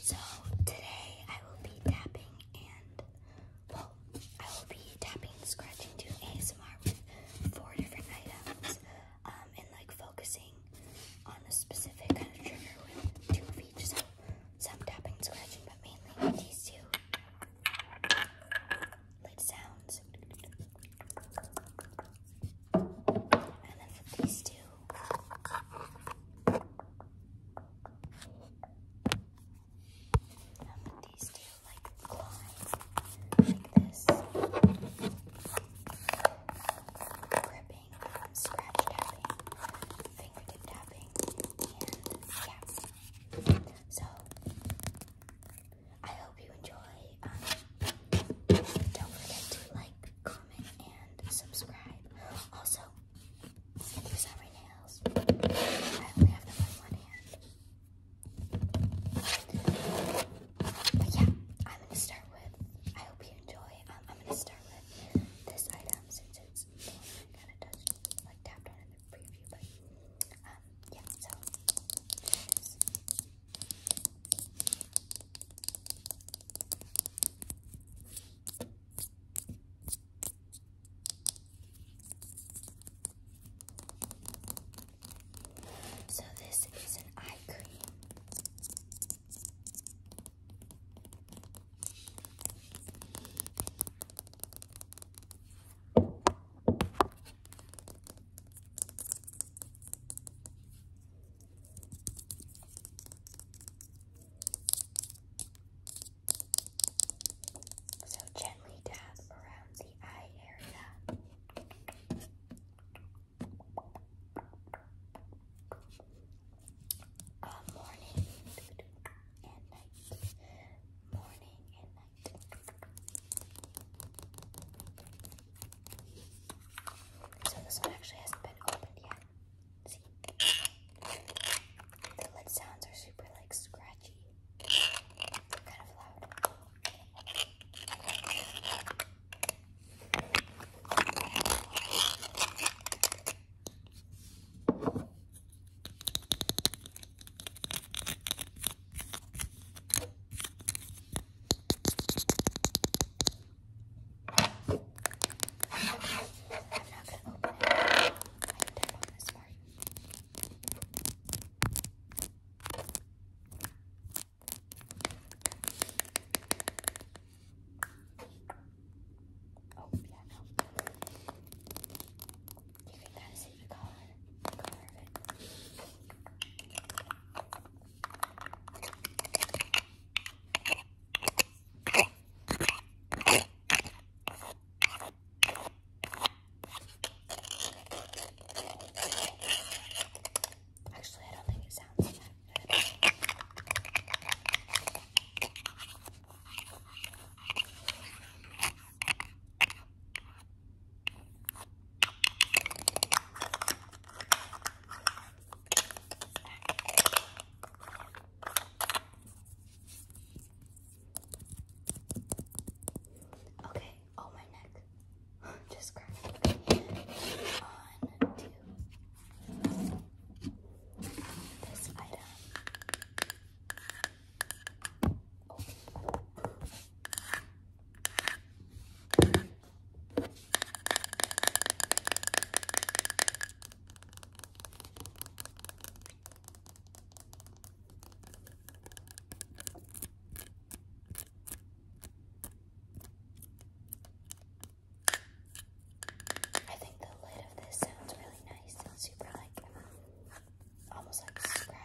So today I will be tapping and, well, I will be tapping, scratching, doing ASMR with four different items um, and like focusing on a specific kind of trigger with two of each. So some tapping, scratching, but mainly these two lit sounds. And then with these two. these two, like, climb. Like this. Gripping, scratch tapping, fingertip tapping, and yeah. So, I hope you enjoy. don't forget to like, comment, and subscribe. Also, these are my nails. I only have them on one hand. But yeah, I'm gonna start with. I hope you enjoy. Um, I'm gonna start with this item since it's kind of touched, like tapped on in the preview. But um, yeah, so. So this is an eye cream. So gently tap around the eye area. Uh, morning and night. Morning and night. So this one actually hasn't been opened yet. See? The lid sounds are super like scratchy. They're kind of loud. I'm not gonna open it. I can tap on this part. Oh, yeah, no. You can kind of see the color, the color of it. Actually, I don't think it sounds that good. Okay, oh my neck. Just cracked. Okay. On to this item. Oh. I think the lid of this sounds really nice and super like almost like scratchy.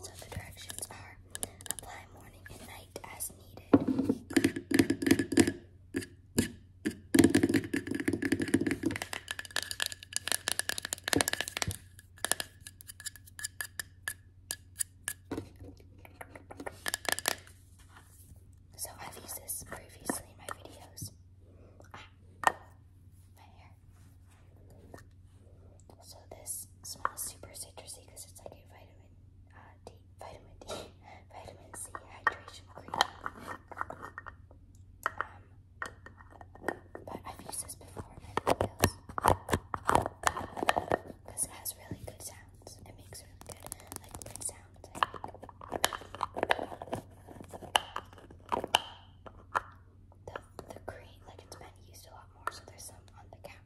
So the directions are apply morning and night as needed. So I've used this previously in my videos. Ah, my hair. So this smells super citrusy because it's like a vitamin uh, D, vitamin D, vitamin C hydration cream. Um, but I've used this before because it has really good sounds. It makes really good like good sounds. The, the cream, like it's been used a lot more, so there's some on the cap.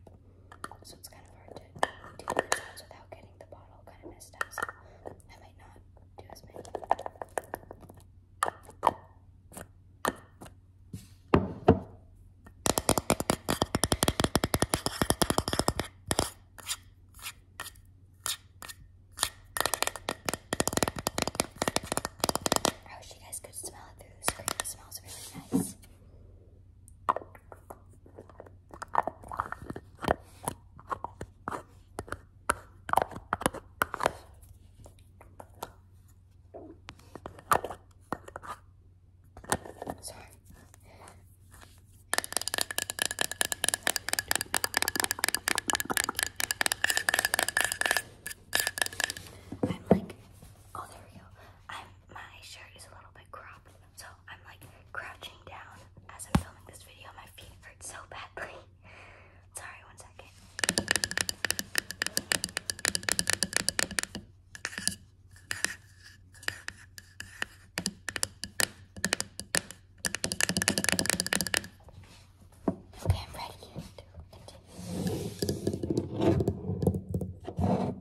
So it's kind of hard to do the sounds without getting the bottle kind of messed up. I might not do as many. I wish you guys could smell it through the screen. It smells really nice. Sorry. I'm like, oh, there we go. I'm, my shirt is a little bit. So I'm like crouching down as I'm filming this video. My feet hurt so badly. Sorry, one second. Okay, I'm ready to continue.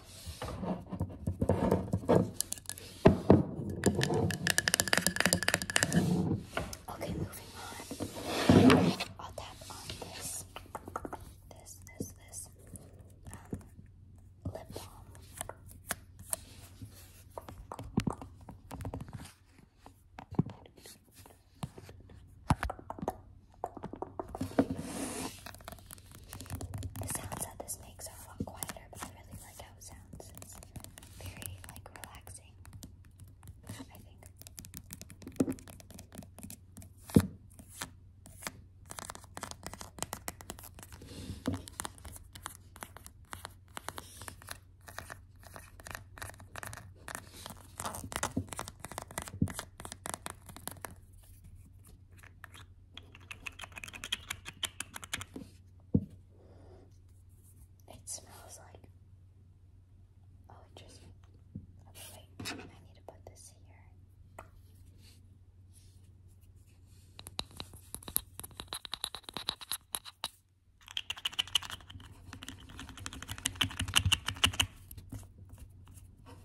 Okay, moving on. I'll tap on this. This, this, this. Um, lip balm. The sounds that this makes are a lot quieter, but I really like how it sounds. It's very like relaxing. I think. It smells like. Oh, interesting. wait. I need to put this here.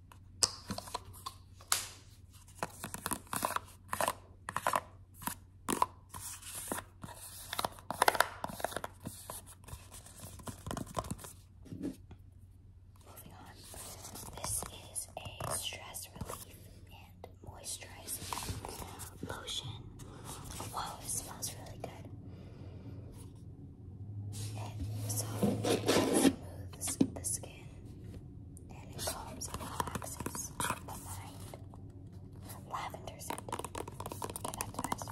Moving on. This is a stress relief and moisturizing lotion. Whoa, it smells really good. It softly smooths the skin and it calms and relaxes the mind. Lavender scent. that's nice.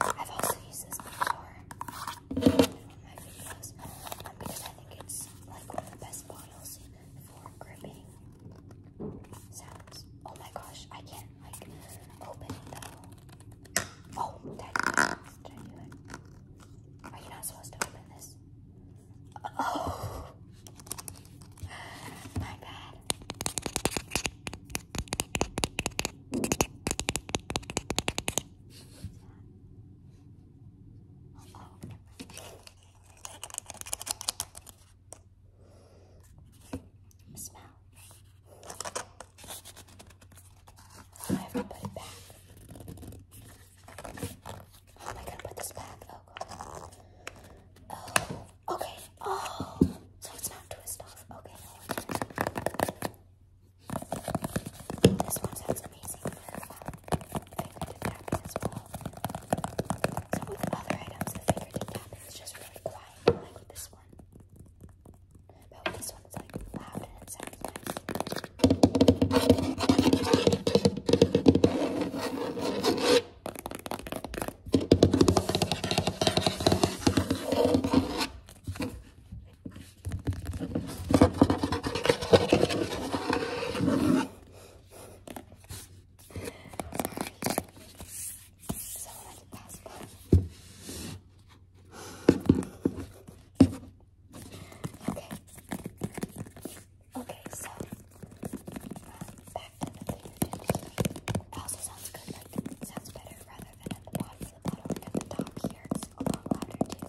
I've also used this before in one of my videos because I think it's like one of the best bottles for gripping sounds. Oh my gosh, I can't like open it Oh, did Are you not supposed to open this? Oh, my bad. Smell. I have to put it back. How am I gonna put this back? Oh okay. Oh, so it's not twist Okay, This one sounds amazing for fingertip tapping as well. So with other items, the fingertip tapping is just really quiet, like this one one. But with this one, it's like loud and it sounds nice. Sorry. Okay. Okay, so back to the clear It also sounds good, it sounds better rather than at the bottom of the bottle and top here. a lot louder too.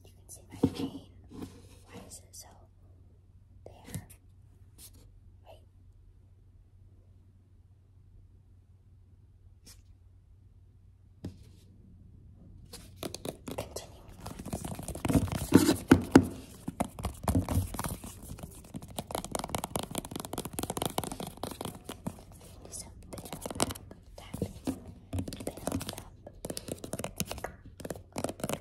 You can see my chain. Why is it so there? Wait. Continuing on. There's a tap, tap, tap, Build up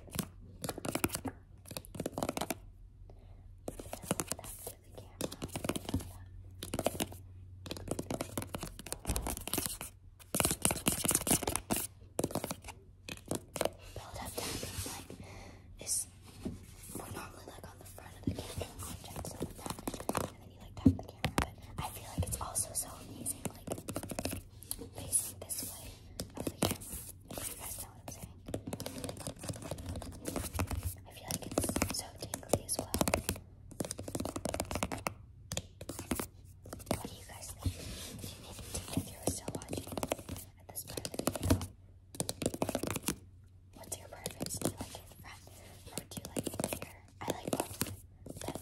tapping like is we're normally like on the front of the camera And then you like tap the camera, but I feel like it's also so amazing, like facing this way If you guys know what I'm saying. I feel like it's so tingly as well. What do you guys think? if you're still watching at this part of the video? What's your preference? Do you you like here? I like both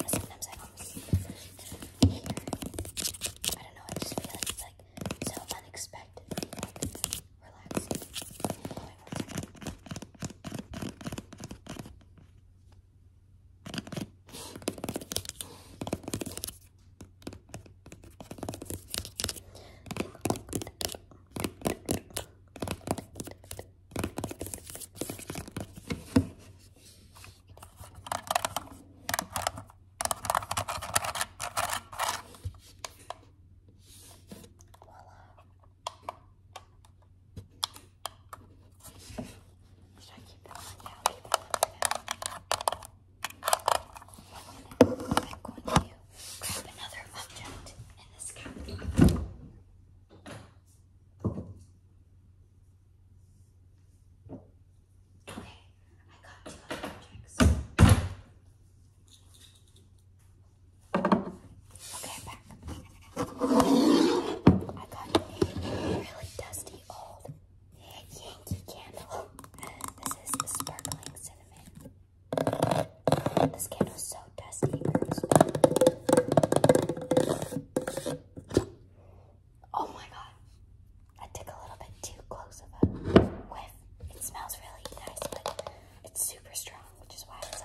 sometimes I always hear. I don't know, I just feel like it's like so unexpected. like should I keep that one? Yeah, I'll keep that one for now. I'm going to grab another object in this cabinet. Okay, Okay, I got two objects. Okay, back. I got a really dusty old Yankee candle. This is the sparkling cinnamon. This candle is so dusty. Oh my god. I took a little bit too close of a whiff. It smells really nice, but it's super strong, which is why oh it's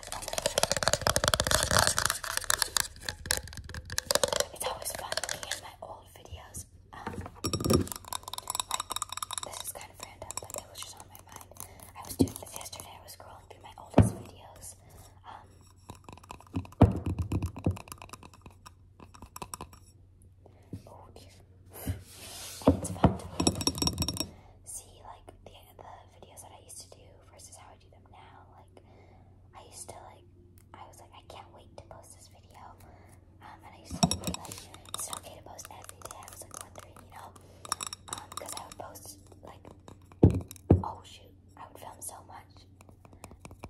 always fun looking my old videos. Um, this is kind of random, but it was just on my mind. I was doing this yesterday. I was scrolling through my oldest videos. Um, Oh dear. see like the the videos that I used to do versus how I do them now. Like I used to like I was like I can't wait to post this video. Um and I used to be like it's okay to post every day. I was like wondering, you know, um because I would post like oh shoot, I would film so much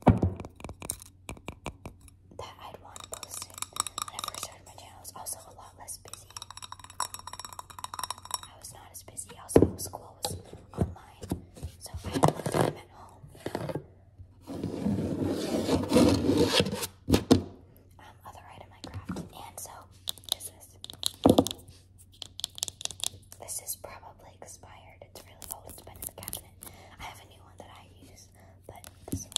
that I'd want posted I first started my channel. I was also a lot less busy. I was not as busy. Also, school was online, so I had a lot of time at home. Um, other item I grabbed, and so this is this. This is probably expired. It's really old. Oh, it's been in the cabinet in it. I have a new one that I use, but this one.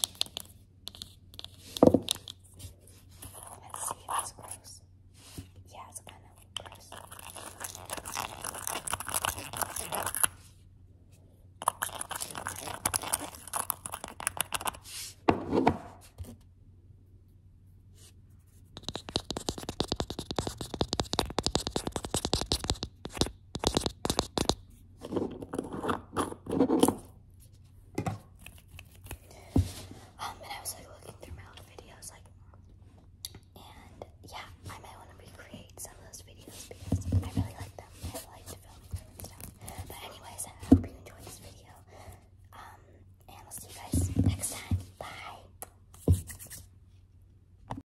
Let's see if it's gross. Yeah, it's kind of gross. Um, and I was like looking through my old videos, like, and yeah, I might want to recreate some of those videos because I really like them. I like to film and stuff. But anyways, I hope you enjoyed this video. Um, and I'll see you guys next time. Bye.